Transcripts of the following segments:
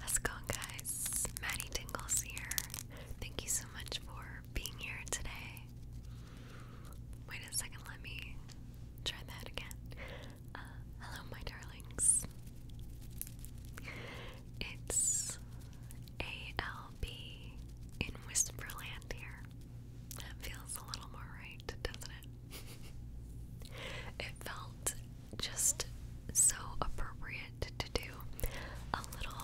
How's it going, guys? Maddie Tingles here. Thank you so much for being here today. Wait a second, let me try that again. Uh, hello, my darlings. It's ALB in Whisperland here. That feels a little more right, doesn't it? it felt just so appropriate to do a little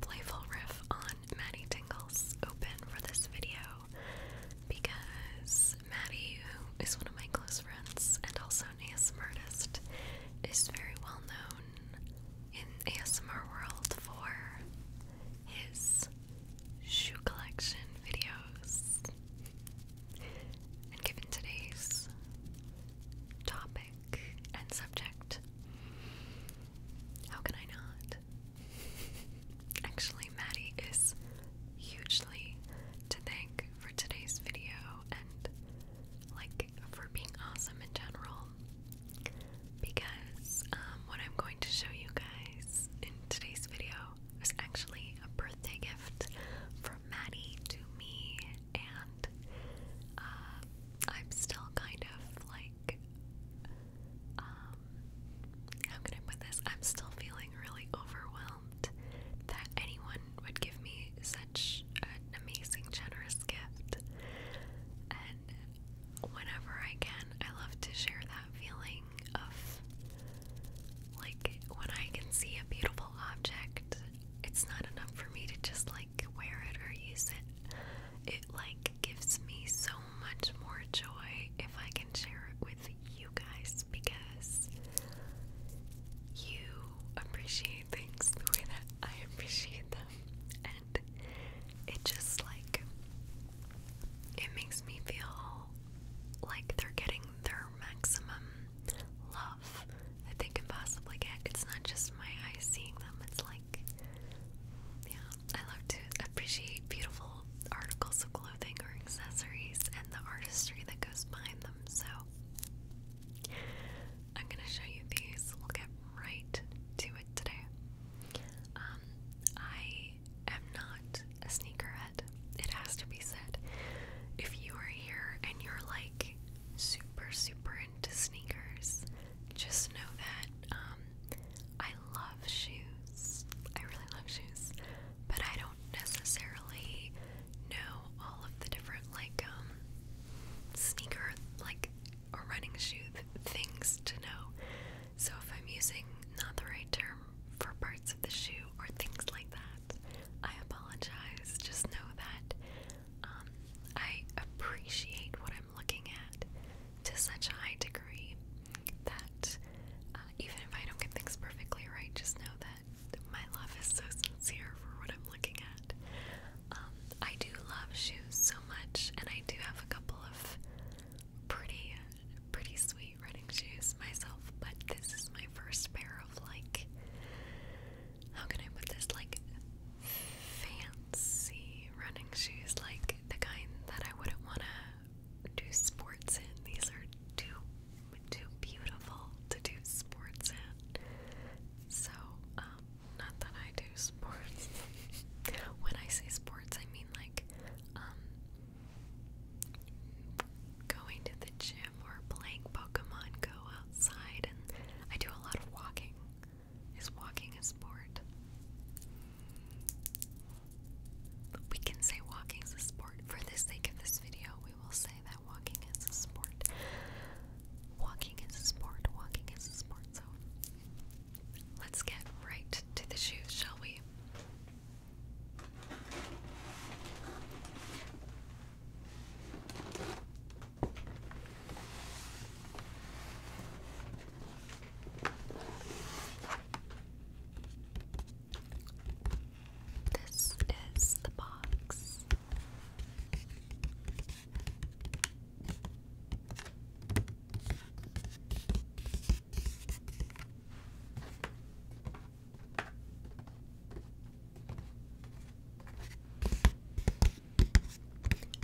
playful riff on Maddie Tingle's open for this video because Maddie, who is one of my close friends and also an ASMR is very well known in ASMR world for his shoe collection videos. And given today's topic and subject, how can I not? Actually, Maddie is hugely to thank for today's video and, like, for being awesome in general. Because um, what I'm going to show you guys in today's video it was actually a birthday gift from Maddie to me, and uh, I'm still kind of like, um, how can I put this? I'm still feeling really overwhelmed that anyone would give me such an amazing, generous gift. And whenever I can, I love to share that feeling of like when I can see a beautiful object, it's not enough for me to just like wear it or use it. It like gives me so much more joy if I can share it with you guys because you appreciate things the way that I appreciate them. And it just like it makes me feel like they're getting their maximum love that they can possibly get. It's not just my eyes seeing them, it's like, yeah, I love to appreciate beautiful articles of clothing or accessories and the artistry that goes behind them. So, I'm gonna show you these. We'll get right to it today. Um, I I am not a sneakerhead. It has to be said. If you are here and you're like super, super into sneakers, just know that um, I love shoes. I really love shoes, but I don't necessarily know all of the different like um, sneaker like or running shoe things to know. So if I'm using not the right term for parts of the shoe or things like that, I apologize. Just know that um, I appreciate what I'm looking at to such a high degree that uh, even if I don't get things perfectly right, just know that my love is so sincere for what I'm looking at. Um, I do love shoes so much, and I do have a couple of pretty pretty sweet running shoes myself, but this is my first pair of like how can I put this like fancy running shoes, like the kind that I wouldn't wanna do sports in. These are too too beautiful to do sports in. So, um, not that I do sports. when I say sports I mean like um going to the gym or playing Pokemon Go outside, and I do a lot of walking. Is walking a sport? We can say walking is a sport. For the sake of this video, we will say that walking is a sport. Walking is a sport. Walking is a sport. So let's get right to the shoes, shall we? This is the box.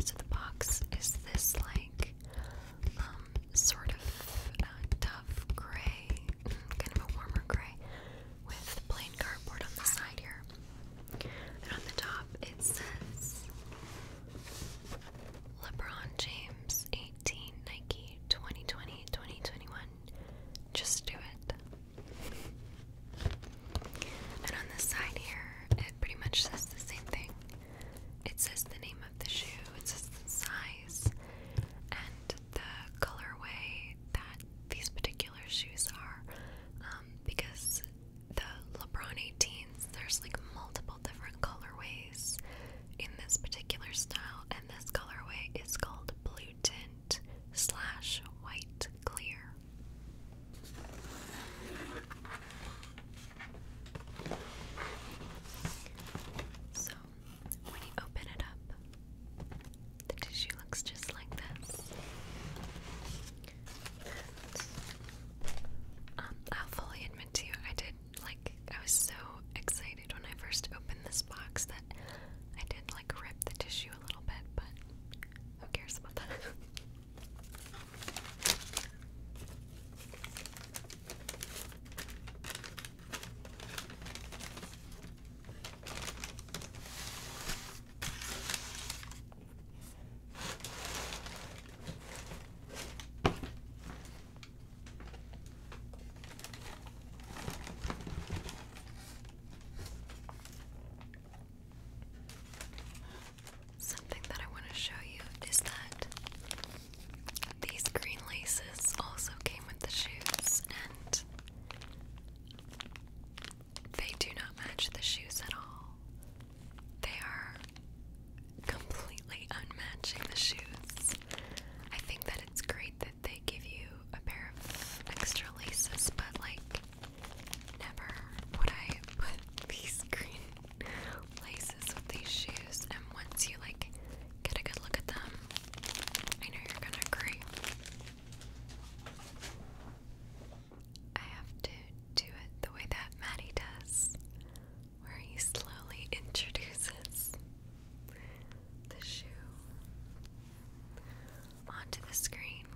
So the box is this like um, sort of uh, gray, mm, kind of a warmer gray with plain cardboard on the side here. And on the top it says LeBron James 2019, Nike 2020, 2021. Just do it. And on this side here, it pretty much says the same thing. It says the name of the shoe, it says the size, and the colorway that these particular shoes are. Um, because the LeBron 18s, there's like multiple different colorways in this particular style, and this colorway is called Blue Tint slash White Clear. So, when you open it up, the tissue looks just like this. Um, I'll fully admit to you, I did like I was so excited when I first opened this box that I did like rip the tissue a little bit, but who cares about that? Something that I want to show you is that these green laces also came with the shoes, and they do not match the shoes at all. They are completely unmatching the shoes. I think that it's great that they give you a pair of extra laces, but like, never would I put these green laces with these shoes. And once you like get a good look at them, I know you're gonna agree. I have to do it the way that Maddie does where he slowly introduces the shoe onto the screen.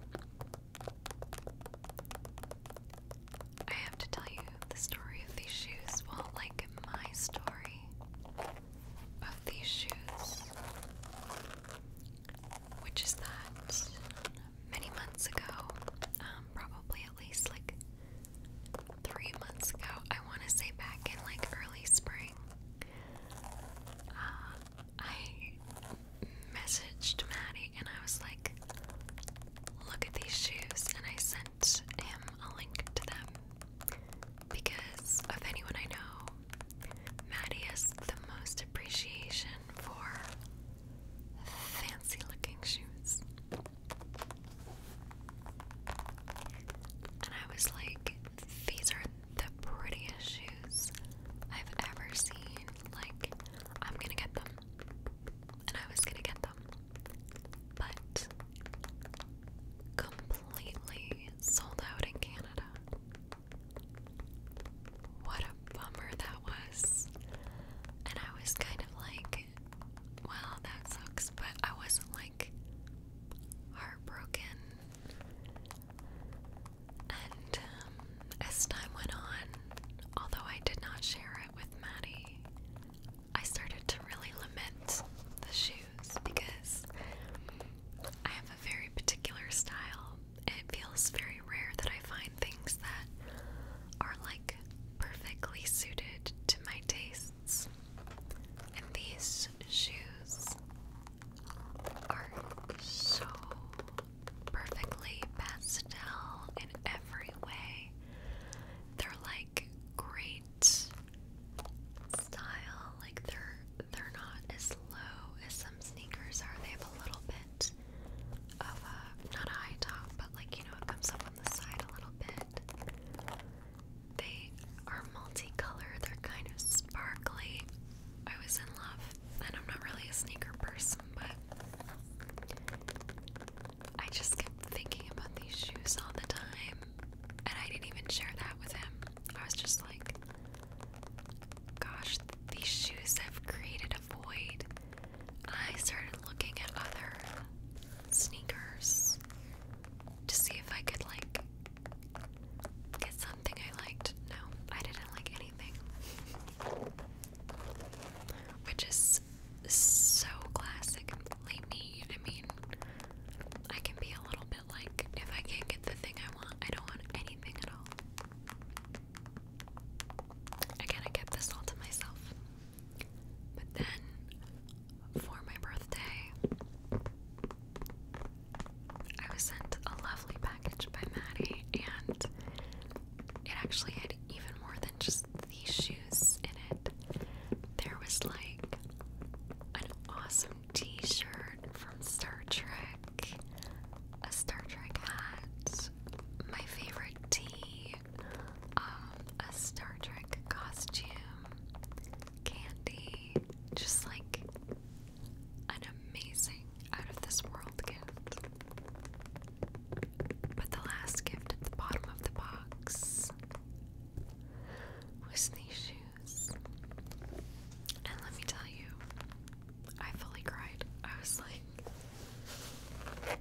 I have to tell you the story of these shoes. Well, like my story of these shoes, which is that many months ago, um, probably at least like three months ago. I want to say back in like early spring. Uh, I messaged Maddie and I was like, look at these shoes. And I sent him a link to them because of anyone I know, Maddie has the most appreciation for fancy looking shoes. And I was like, these are the prettiest shoes I've ever seen. Like, I'm gonna get them. And I was gonna get them. But completely sold out in Canada. What a bummer that was. And I was kind of like, well, that sucks, but I wasn't like heartbroken. And um, as time went on, although I did not share it with Maddie, I started to really lament the shoes because I have a very particular style. It feels very rare that I find things that are like perfectly suited to my taste. And these shoes are so perfectly pastel in every way. They're like great style. Like they're they're not as low as some sneakers are. They have a little bit of a not a high top, but like you know it comes up the side a little bit. They are multicolored, they're kind of sparkly. I was in love, and I'm not really a sneaker person, but I just kept thinking about these shoes all the time, and I didn't even share that with him. I was just like, gosh, these shoes have created a void. I started looking at other sneakers to see if I could like get something I liked. No, I didn't like anything. Which is so classic me. I mean, I can be a little bit like, if I can't get the thing I want, I don't want anything at all. Again, I kept this all to myself. But then, for my birthday, I was sent a lovely package by Maddie, and it actually had even more than just these shoes in it. There was like an awesome t shirt from Star Trek, a Star Trek hat, my favorite tea, a Star Trek costume, candy, just like an amazing out of this world gift. But the last gift at the bottom of the box was these shoes. And let me tell you, I fully cried. I was like,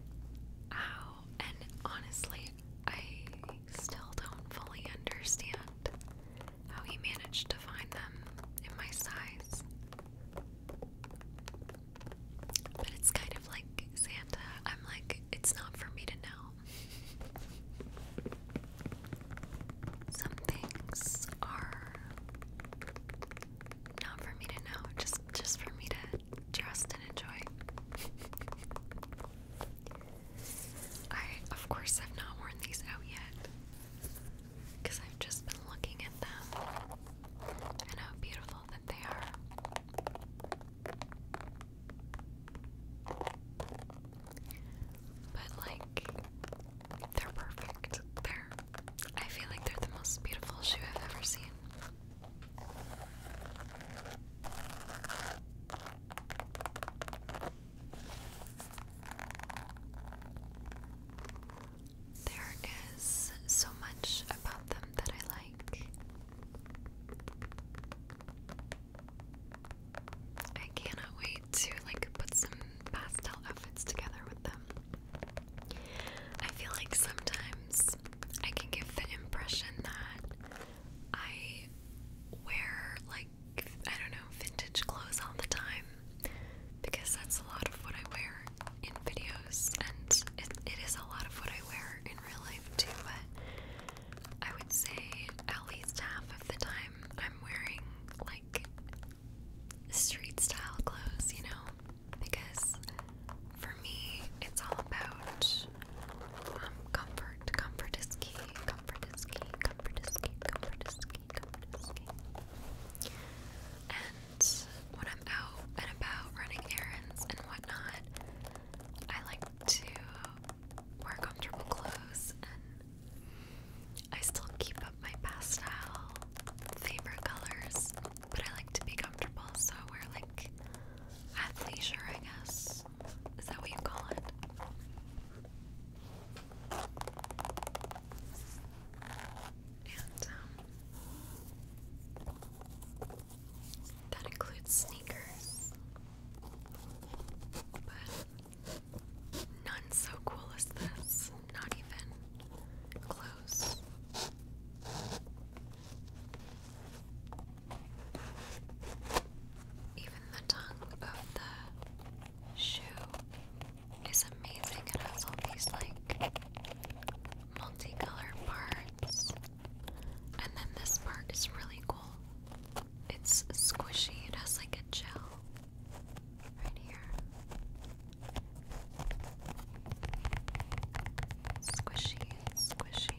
how and honestly, I still don't fully understand how he managed to find them in my size. But it's kind of like Santa. I'm like, it's not for me to know. Some things are not for me to know, just just for me to trust and enjoy. I, of course, have not worn these out yet because I've just been looking at them and how beautiful that they are. But, like, they're perfect. They're, I feel like they're the most beautiful shoe I've ever seen. There is so much about them that I like. I cannot wait to like put some pastel outfits together with them. I feel like sometimes I can give the impression that I wear like I don't know vintage clothes all the time because that's a lot of what I wear in videos and it, it is a lot of what I wear in real life too but I would say at least half of the time I'm wearing like street style clothes you know because for me it's all about um, comfort. Comfort is key. Comfort is key. Comfort is key. Comfort is key. Comfort is key. And when I'm out and about running errands and whatnot, I like to wear comfortable clothes and I still keep up my pastel favorite colors but I like to be comfortable, so I wear like athleisure, I guess. Is that what you call it? And um, that includes sneakers, but none so cool as this, not even close. Even the tongue of the shoe is amazing. It has all these like multicolored parts. And then this part is really cool. It's squishy. It has like a gel right here. Squishy, squishy,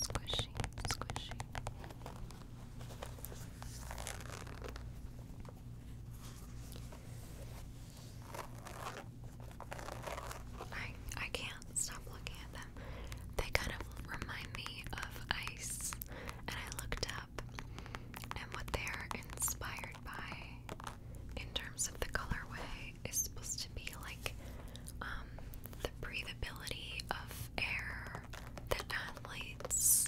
squishy, squishy. I I can't stop looking at them. They kind of remind me of ice, and I looked up and what they're inspired by in terms of the colorway is supposed to be like um, the breathability of air that athletes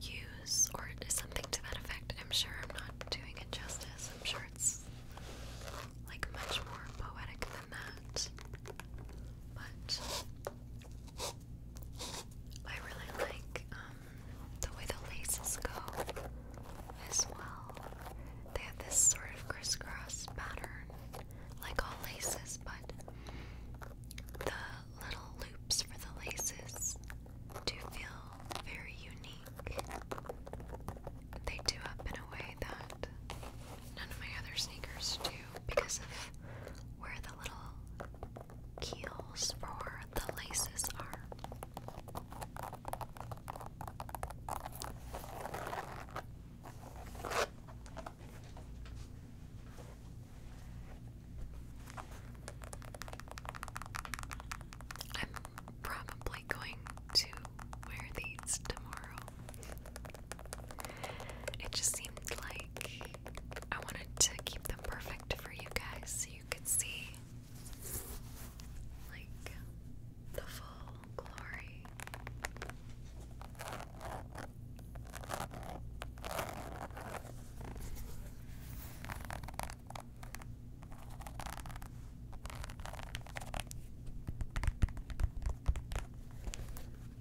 use, or something to that effect. I'm sure I'm not doing it justice. I'm sure it's like much more poetic than that. But I really like um, the way the laces go as well. They have this sort of crisscross pattern, like all laces, but the little loops for the laces do feel very unique. They do up in a way that none of my other sneakers do because of where the little keels for the laces are. I'm probably going to wear these tomorrow. It just seemed like I wanted to keep them perfect for you guys so you could see like the full glory.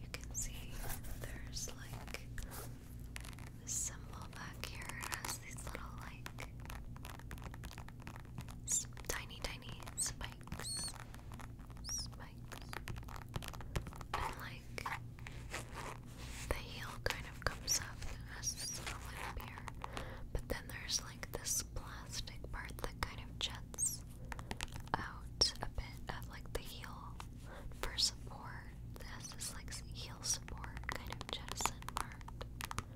You can see there's like a symbol back here. has these little like tiny, tiny spikes. Spikes. like the heel kind of comes up and has this But then there's like this plastic part that kind of jets out a bit of like the heel for support. This like heel support kind of jettison part.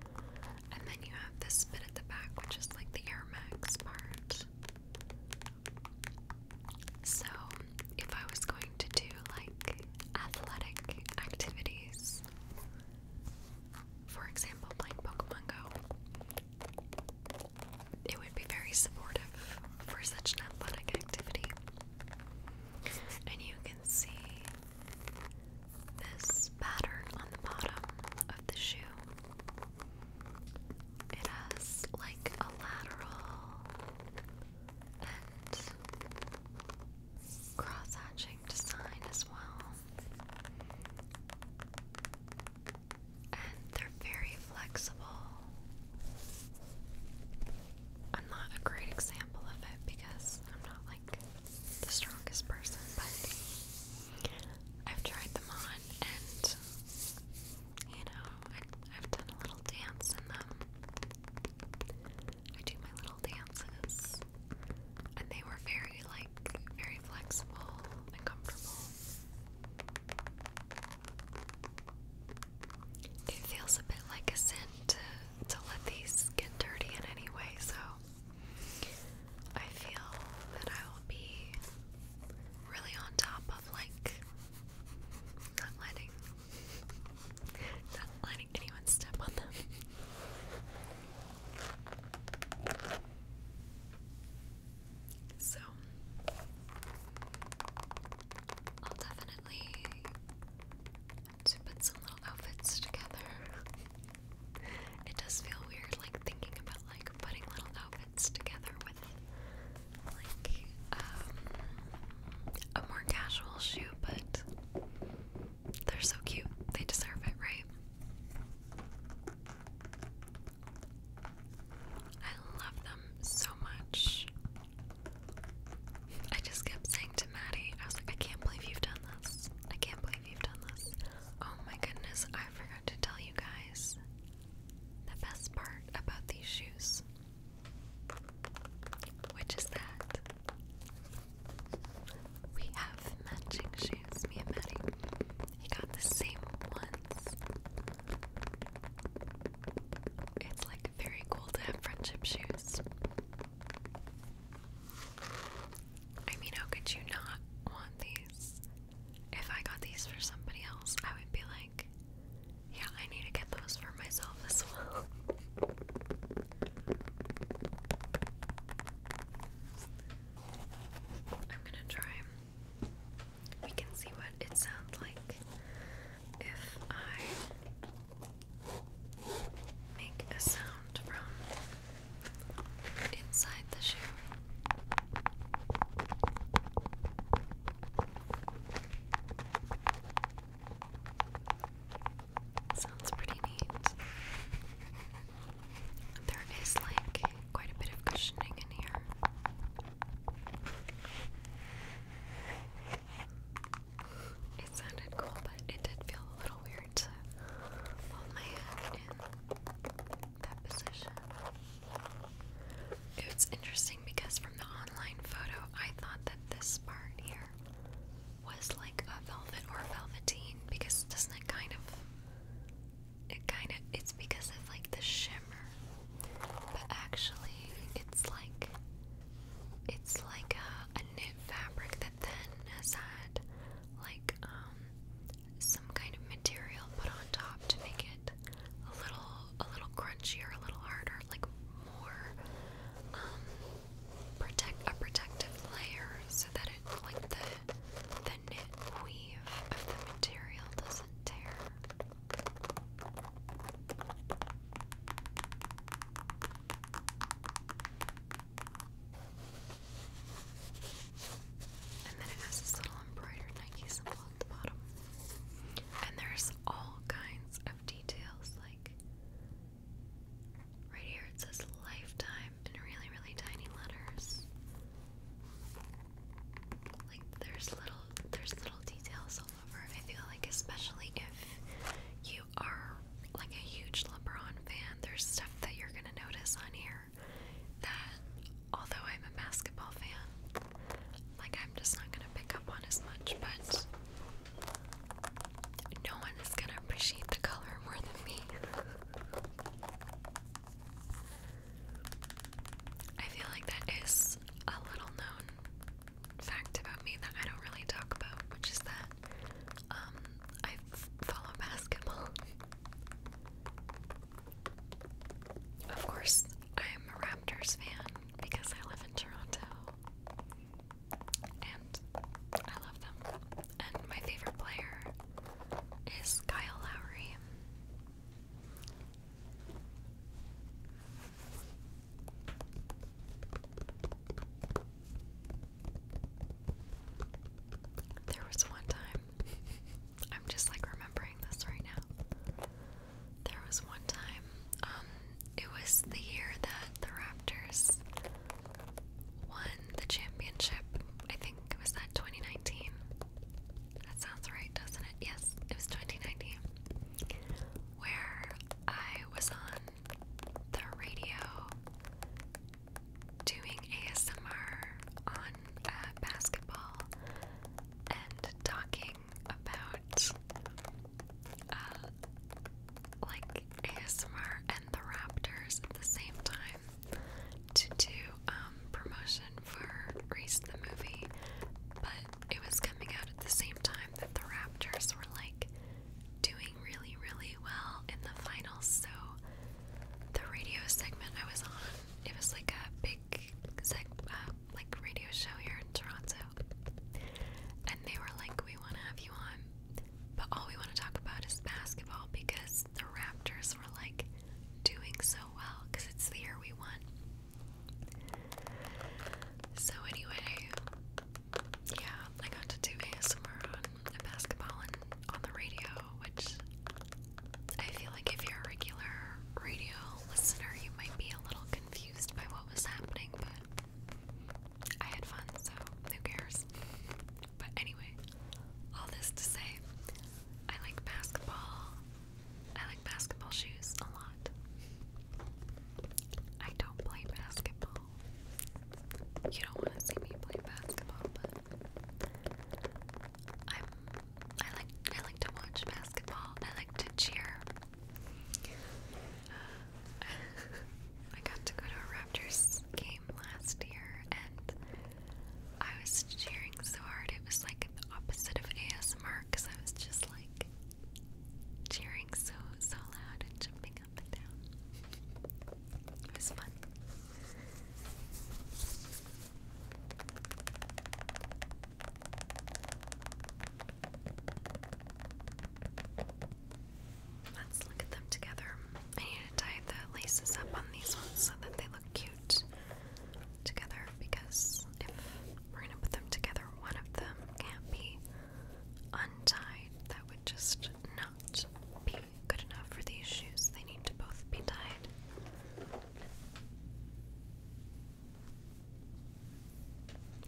And then you have this bit at the back, which is like the Air Max part. So, if I was going to do like athletic activities, for example, playing Pokemon Go, it would be very supportive for such an athletic activity. And you can see this pattern on the bottom of the shoe. It has like a lateral and cross design as well. And they're very flexible. I'm not a great example of it because I'm not like the strongest person, but I've tried them on and you know, I, have done a little dance in them. I do my little dances, and they were very, like, very flexible and comfortable. It feels a bit like a sin to let these get dirty in any way, so I feel that I will be really on top of like not letting not letting anyone step on them. So I'll definitely to put some little outfits together. it does feel weird, like thinking about like putting little outfits together with like um, a more casual shoe, but they're so cute. They deserve it, right? I love them so much. I just kept saying to Maddie, I was like, I can't believe you've done this. I can't believe you've done this. Oh my goodness, I forgot to tell you guys the best part about these shoes. Which is that we have matching shoes, me and Maddie. He got the same ones. It's like very cool to have friendship shoes. I mean, how could you not want these? If I got these for somebody else, I would be like, yeah, I need to get those for myself as well. I'm gonna try. We can see what it sounds like if I make a sound from inside the shoe. Sounds pretty neat. There is like quite a bit of cushioning in here. It sounded cool, but it did feel a little weird hold my hand in that position. It's interesting because from the online photo, I thought that this part here was like a velvet or velveteen because doesn't it kind of, it kind of, it's because of like the shimmer, but actually it's like, it's like a uh, a knit fabric that then has had like um, some kind of material put on top to make it a little a little crunchier, a little harder, like more um, protect a protective layer so that it like the the knit weave of the material doesn't tear. And then it has this little embroidered Nike symbol at the bottom. And there's all kinds of details, like right here it says lifetime in really, really tiny letters. Like there's little there's little details all over. I feel like especially if you are like a huge LeBron fan, there's stuff that you're going to notice on here that, although I'm a basketball fan, like I'm just not going to pick up on as much, but no one is going to appreciate the color more than me. I feel like that is a little known fact about me that I don't really talk about, which is that um, I follow basketball. Of course, I'm a Raptors fan because I live in Toronto. And I love them. And my favorite player is Kyle Lowry. There was one time, I'm just like remembering this right now. There was one time, um, it was the year that the Raptors won the championship. I think it was that 2019. That sounds right, doesn't it? Yes, it was 2019. Where I was on the radio doing ASMR on uh, basketball and talking about uh, like ASMR and the Raptors at the same time to do um, promotion for *Race* the movie, but it was coming out at the same time that the Raptors were like doing really, really well in the finals. So, the radio segment I was on, it was like a big uh, like radio show here in Toronto, and they were like, "We want to have you on, but all we want to talk about is basketball because the Raptors were like doing so well because it's the year we won." So anyway, yeah, I got to do ASMR on a basketball and on the radio, which I feel like if you're a regular radio listener, you might be a little confused by what was happening, but I had fun, so who cares? But anyway, all this to say, I like basketball. I like basketball shoes a lot. I don't play basketball. You don't want to see me play basketball, but I'm I like I like to watch basketball. I like to cheer. I got to go to a Raptors game last year and I was cheering so hard it was like the opposite of ASMR because I was just like cheering so so loud and jumping up and down. It was fun. Let's look at them together. I need to tie the laces up on these ones so that they look cute together because if we're gonna put them together, one of them can't be untied. That would just not be good enough for these shoes. They need to both be tied.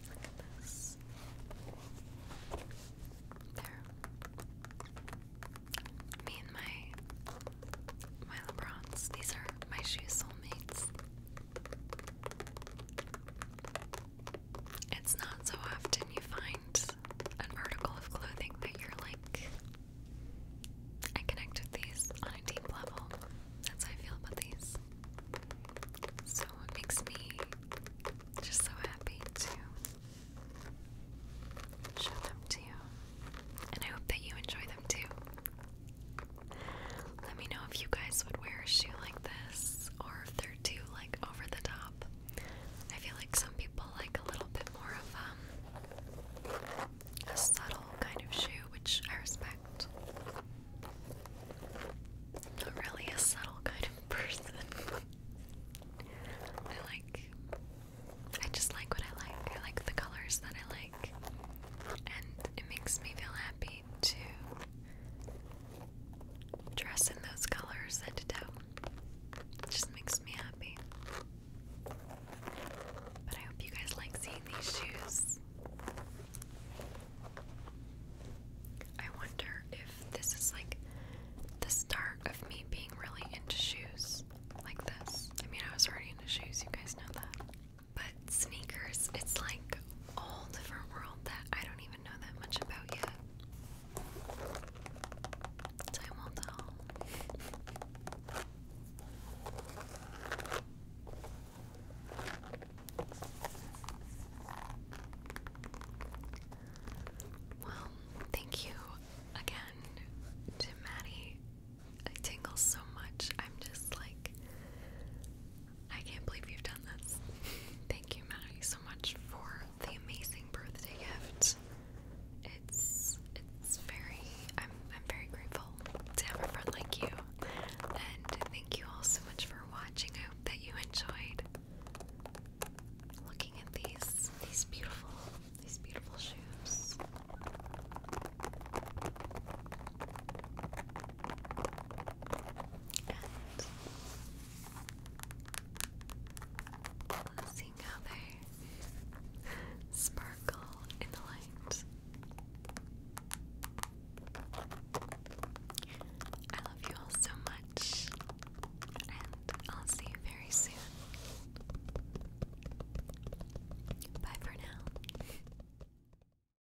Look at this. There. Me and my my LeBrons. These are my shoe soulmates. It's not so often you find an article of clothing that you're like, I connect with these on a deep level. That's how I feel about these. So it makes me just so happy to show them to you. And I hope that you enjoy them too. Let me know if you guys would wear a shoe like this or if they're too like over the top. I feel like some people like a little bit more of um, a subtle kind of shoe, which I respect. Not really a subtle kind of person. I like I just like what I like. I like the colors that I like. And it makes me feel happy to dress in those colors, send it out. It just makes me happy. But I hope you guys like seeing these shoes. I wonder if this is like the start of me being really into shoes like this. I mean, I was already into shoes, you guys know that. But sneakers, it's like a different world that I don't even know that much about yet. Time will tell. Well, thank you again to Maddie. I tingle so much. I'm just like I can't believe you've done this. Thank you, Maddie, so much for the amazing birthday gift. It's it's very I'm I'm very grateful to have a friend like you. And thank you all so much for watching. I hope that you enjoyed looking at these these beautiful these beautiful shoes. And seeing sparkle in the light. I love you all so much, and I'll see you very soon. Bye for now.